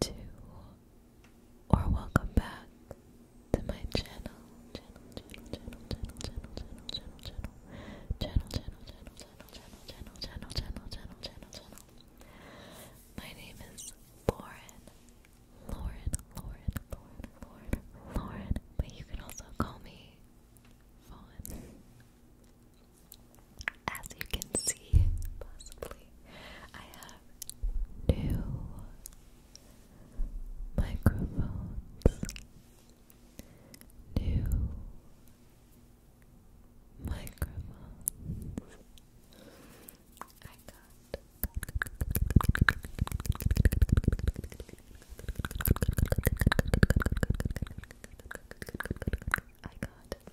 to or welcome back to my channel. Channel, channel, channel, channel, channel, channel, channel, channel, channel, channel, channel, channel, channel, channel, channel, channel, channel, My name is Lauren. Lauren, Lauren, Lauren, Lauren, Lauren. But you can also call me Fawn. As you can see, possibly quickly. I have two microphones. New microphones. I got I got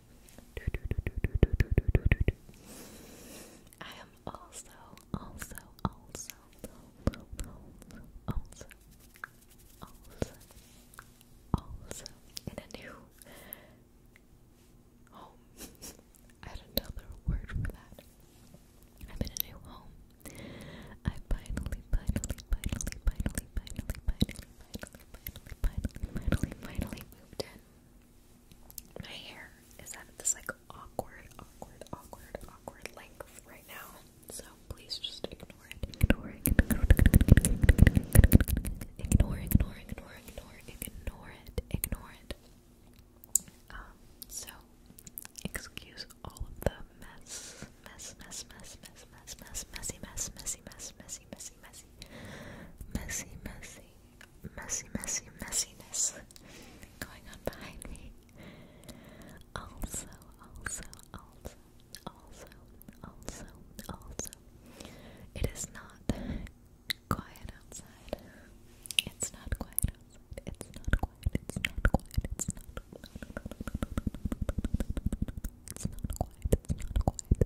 I am also, also, also, also, also, also, also in a new home. I had another word for that. I'm in a new home. I finally, finally, finally, finally, finally, finally, finally, finally, finally, finally moved in. My hair is at this like awkward, awkward, awkward, awkward length right now. So please just ignore it. Ignore, ignore, ignore, ignore, ignore, ignore, ignore, ignore it, ignore it. Um, so excuse all of the mess, mess, mess, mess, mess, mess, mess, messy, mess, messy, mess, messy, messy, messy, messy, messy, messy, messy, messiness going on behind me. Also, also, also, also, also, also, it is not quiet outside. It's not quiet outside. It's not quiet. It's not quiet. It's not. It's not quiet. It's not quiet.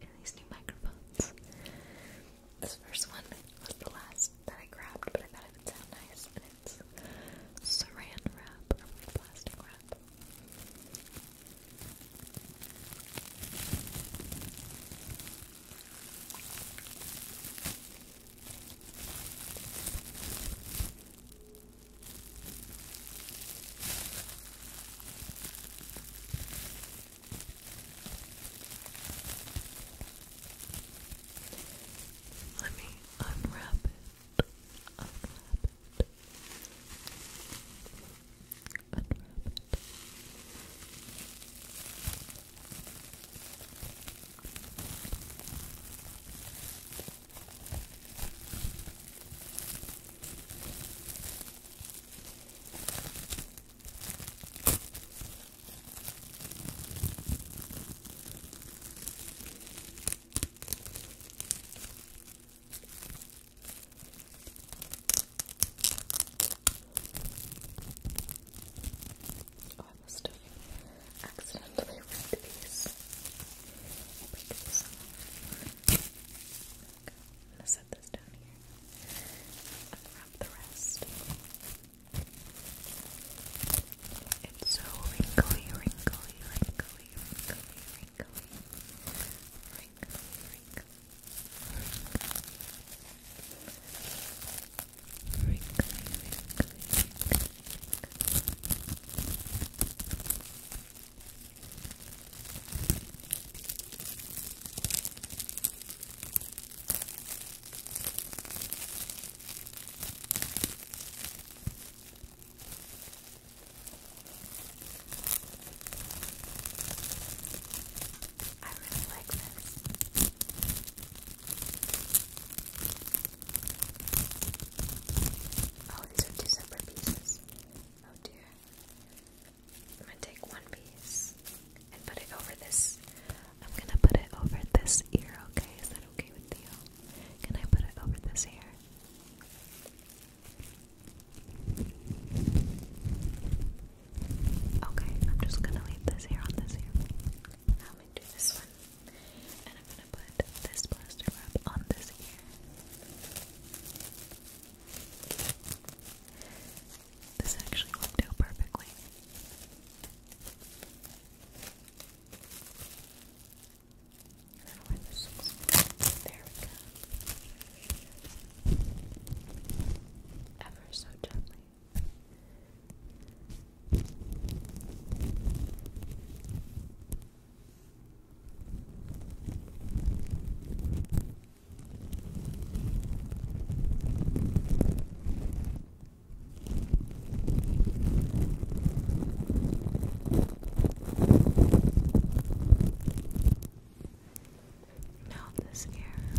in these new microphones. This first one was the last that I grabbed, but I thought it would sound nice, it's saran wrap or plastic wrap. Let me unwrap it. Unwrap it. Unwrap it. Oh, I must have accidentally ripped these. I'll Okay. i set this down here. the rest. It's so wrinkly, wrinkly, wrinkly, wrinkly, wrinkly, wrinkly. Wrinkly, wrinkly, wrinkly. I really like this. Oh, these are two separate pieces. Oh dear. I'm gonna take one piece and put it over this. I'm gonna put it over this ear, okay? Is that okay with you? Can I put it over this ear? Okay, I'm just gonna leave this here on this ear. Now I'm gonna do this one. And I'm gonna put this plaster wrap on this ear. This actually worked out perfectly. There we go. Ever so gently. Now this ear. Now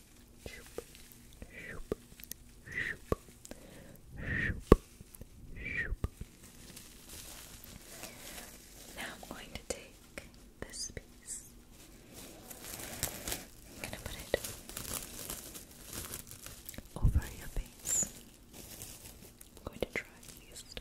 shoop, shoop, Now I'm going to take this piece. I'm gonna put it over your face. I'm going to try at least.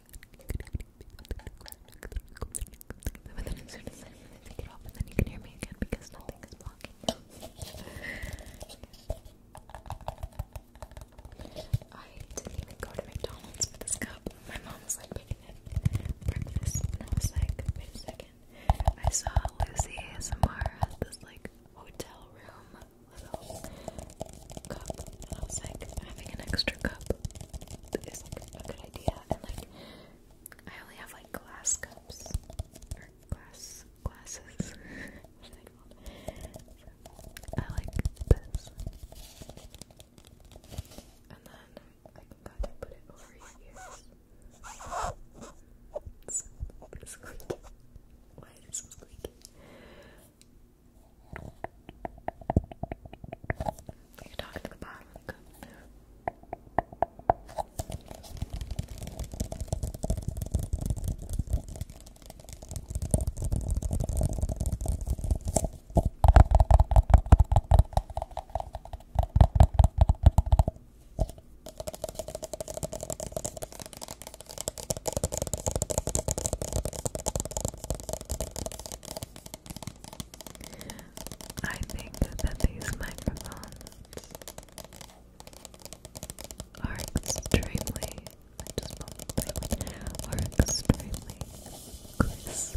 but then as soon as I take it off, and then you can hear me again because nothing is blocking I didn't even go to McDonald's for this cup. My mom was like making it breakfast, and I wait a second. I saw Lucy ASMR at this like hotel room I was like, having an extra cup is like a good idea. And like, I only have like glass cups or glass glasses. I like this, and then I can put it over your Why is it so you're talking to the bottom of the cup there. All I think that these microphones are extremely, are extremely crisp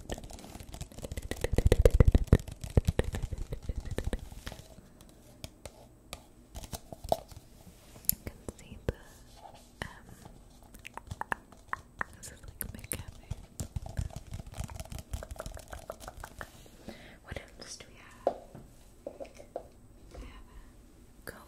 can see the um this is like my cafe. What else do we have? We have a comb.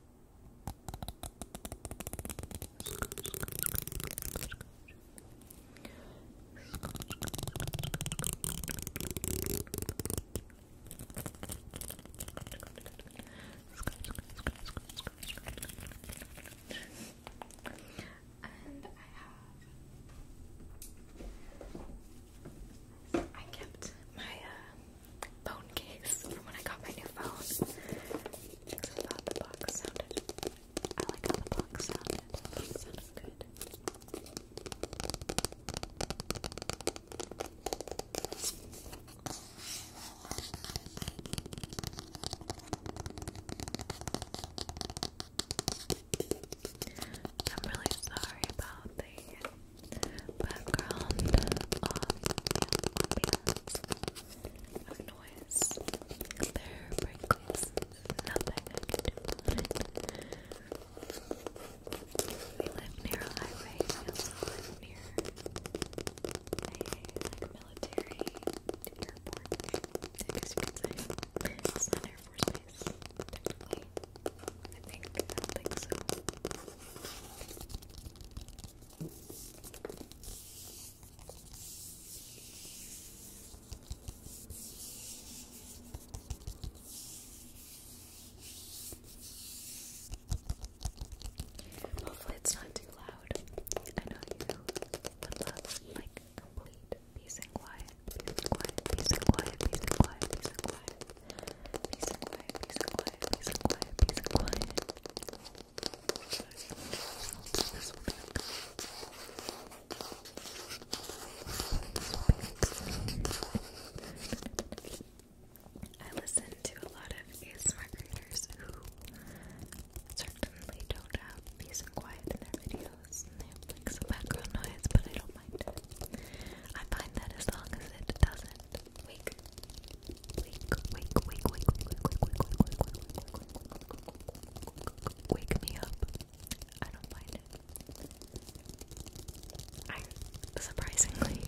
And I have I kept my uh, phone case from when I got my new phone. I like how the box sounded. I'm really sorry about the background uh, of of noise. There breaks nothing We live near a highway, we also live near a military airport, I guess you could say. It's not Air Force Base, technically. I think, I think so. Hopefully it's not too loud. I know you would love like complete peace and quiet, peace and quiet, peace and quiet, peace and quiet, peace and quiet, peace and quiet, peace and quiet, peace and quiet, peace and quiet. Peace and quiet, peace and quiet. I listen to a lot of ASMR creators who certainly don't have peace and quiet in their videos and they have like some background noise, but I don't mind it. I find that as long as it doesn't wake, wake, wake, wake, wake, wake, wake, wake, wake, wake, wake, wake me up. I don't mind it. surprisingly,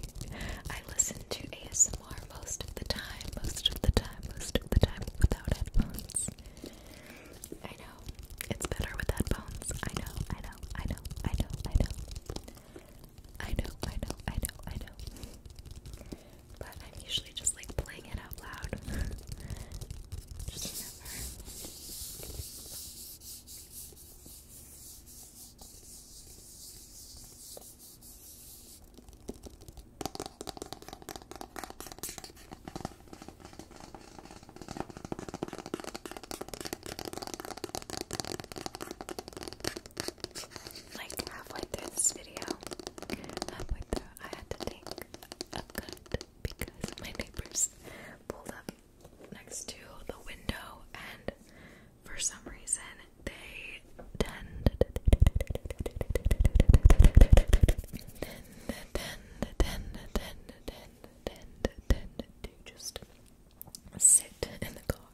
I listen to ASMR most of the time, most of the time, most of the time without headphones. I know it's better with headphones. I know, I know, I know, I know, I know. I know, I know, I know, I know. But I'm usually just like playing it out loud. like halfway through this video, halfway through, I had to take a cut because my neighbors pulled up next to the window, and for some reason they tend, to just sit in the car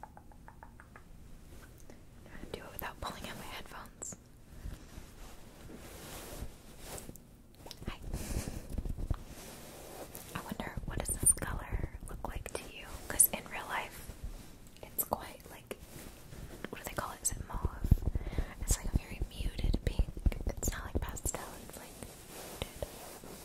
Try to do it without pulling out my headphones. Hi. I wonder what does this color look like to you? Because in real life, it's quite like what do they call it? Is mauve? It's like a very muted pink. It's not like pastel. It's like muted.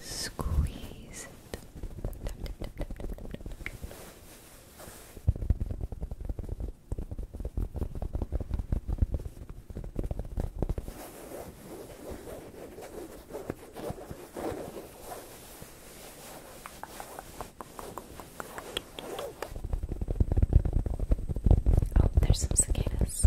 Squeeze it. Oh, there's some cicadas.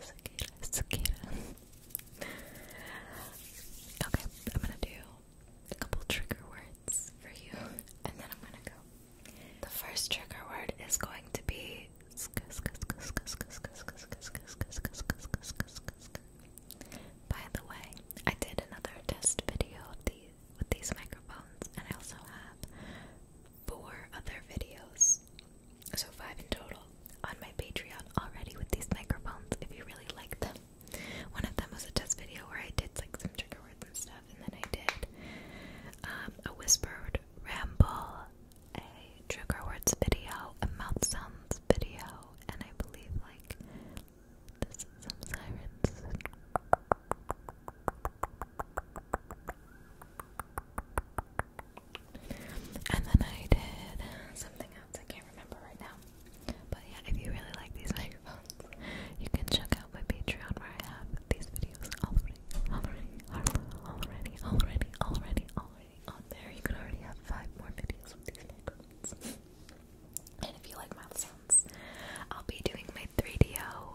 cicada, cicada. Okay, I'm gonna do a couple trigger words for you, and then I'm gonna go. The first trigger word is going to be by the way, I did another test video with these microphones and I also have four other videos, so five in total, on my Patreon already with these microphones if you really like them. One of them was a test video where I did like some trigger words and stuff, and then I did um, a whispered ramble, a trigger words video, a mouth sounds video, and I believe like some sirens. And then I did something else, I can't remember right now. But yeah, if you really like these microphones, you can check out my Patreon where I have these videos already, already, already, already, already, already on there. You could already have five more videos with these microphones. and if you like my sounds, I'll be doing my 3DO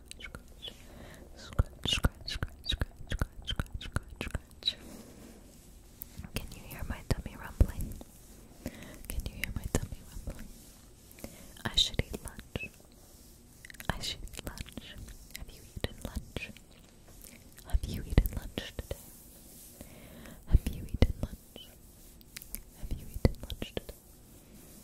scratch, scratch, scratch, scratch, scratch, scratch, scratch, scratch, Can you hear my tummy rumbling? Can you hear my tummy rumbling? I should eat lunch. I should eat lunch. Have you eaten lunch? Have you eaten lunch today? Have you eaten lunch? Have you eaten lunch today?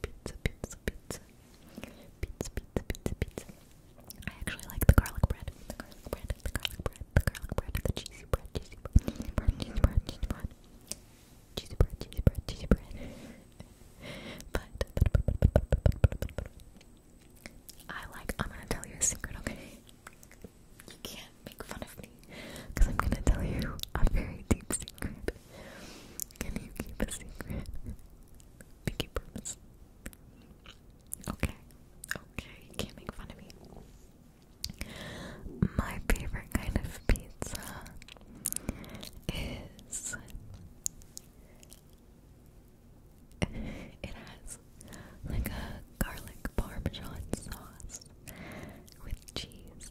pizza, pizza, pizza. Pizza, pizza, pizza, pizza. I actually like the garlic bread. The garlic bread, the garlic bread, the garlic bread, the cheesy bread, cheesy bread, cheesy bread, cheesy bread, cheesy bread. Cheesy bread, cheesy bread, cheesy bread. but, but, but, but, but, but, but, but, but, but. I like, I'm gonna tell you a secret, okay? You can't make fun of me because I'm gonna tell you a very deep secret. Can you keep a secret? Pinky Okay. Okay, you can't make fun of me. My favorite kind of pizza is it has like a garlic parmesan sauce with cheese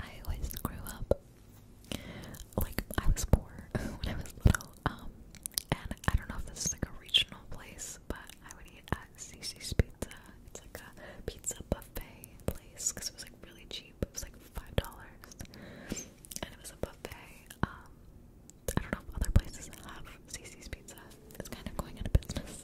I always grew up like I was poor when I was little, um, and I don't know if this is like a regional place, but I would eat at Cece's Pizza. It's like a pizza buffet place because it was like really cheap. It was like five dollars, and it was a buffet. Um, I don't know if other places have Cece's Pizza. It's kind of going out of business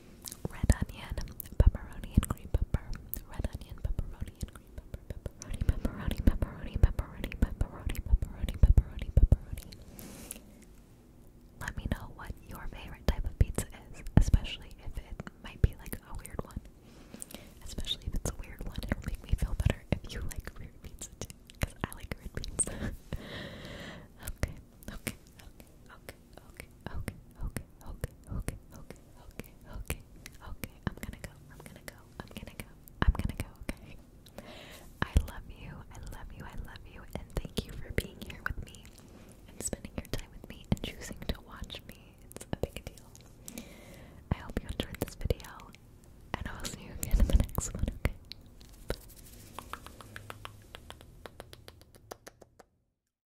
red onion, pepperoni and green pepper, red onion, pepperoni and green pepper, pepperoni, pepperoni, pepperoni, pepperoni, pepperoni, pepperoni, pepperoni, pepperoni. Let me know what your favorite type of pizza is, especially if it might be like a weird one. Especially if it's a weird one, it'll make me feel better if you like weird pizza too, because I like weird pizza. okay, okay, okay, okay, okay, okay, okay, okay, okay, okay, okay, okay, okay. I'm gonna go. I'm gonna go. I'm gonna go. I'm gonna go. Okay. I love you. I love you. I love you. And thank you for being here with me and spending your time with me and choosing to watch me. It's a big deal. I hope you enjoyed this video, and I'll see you again in the next one. Okay.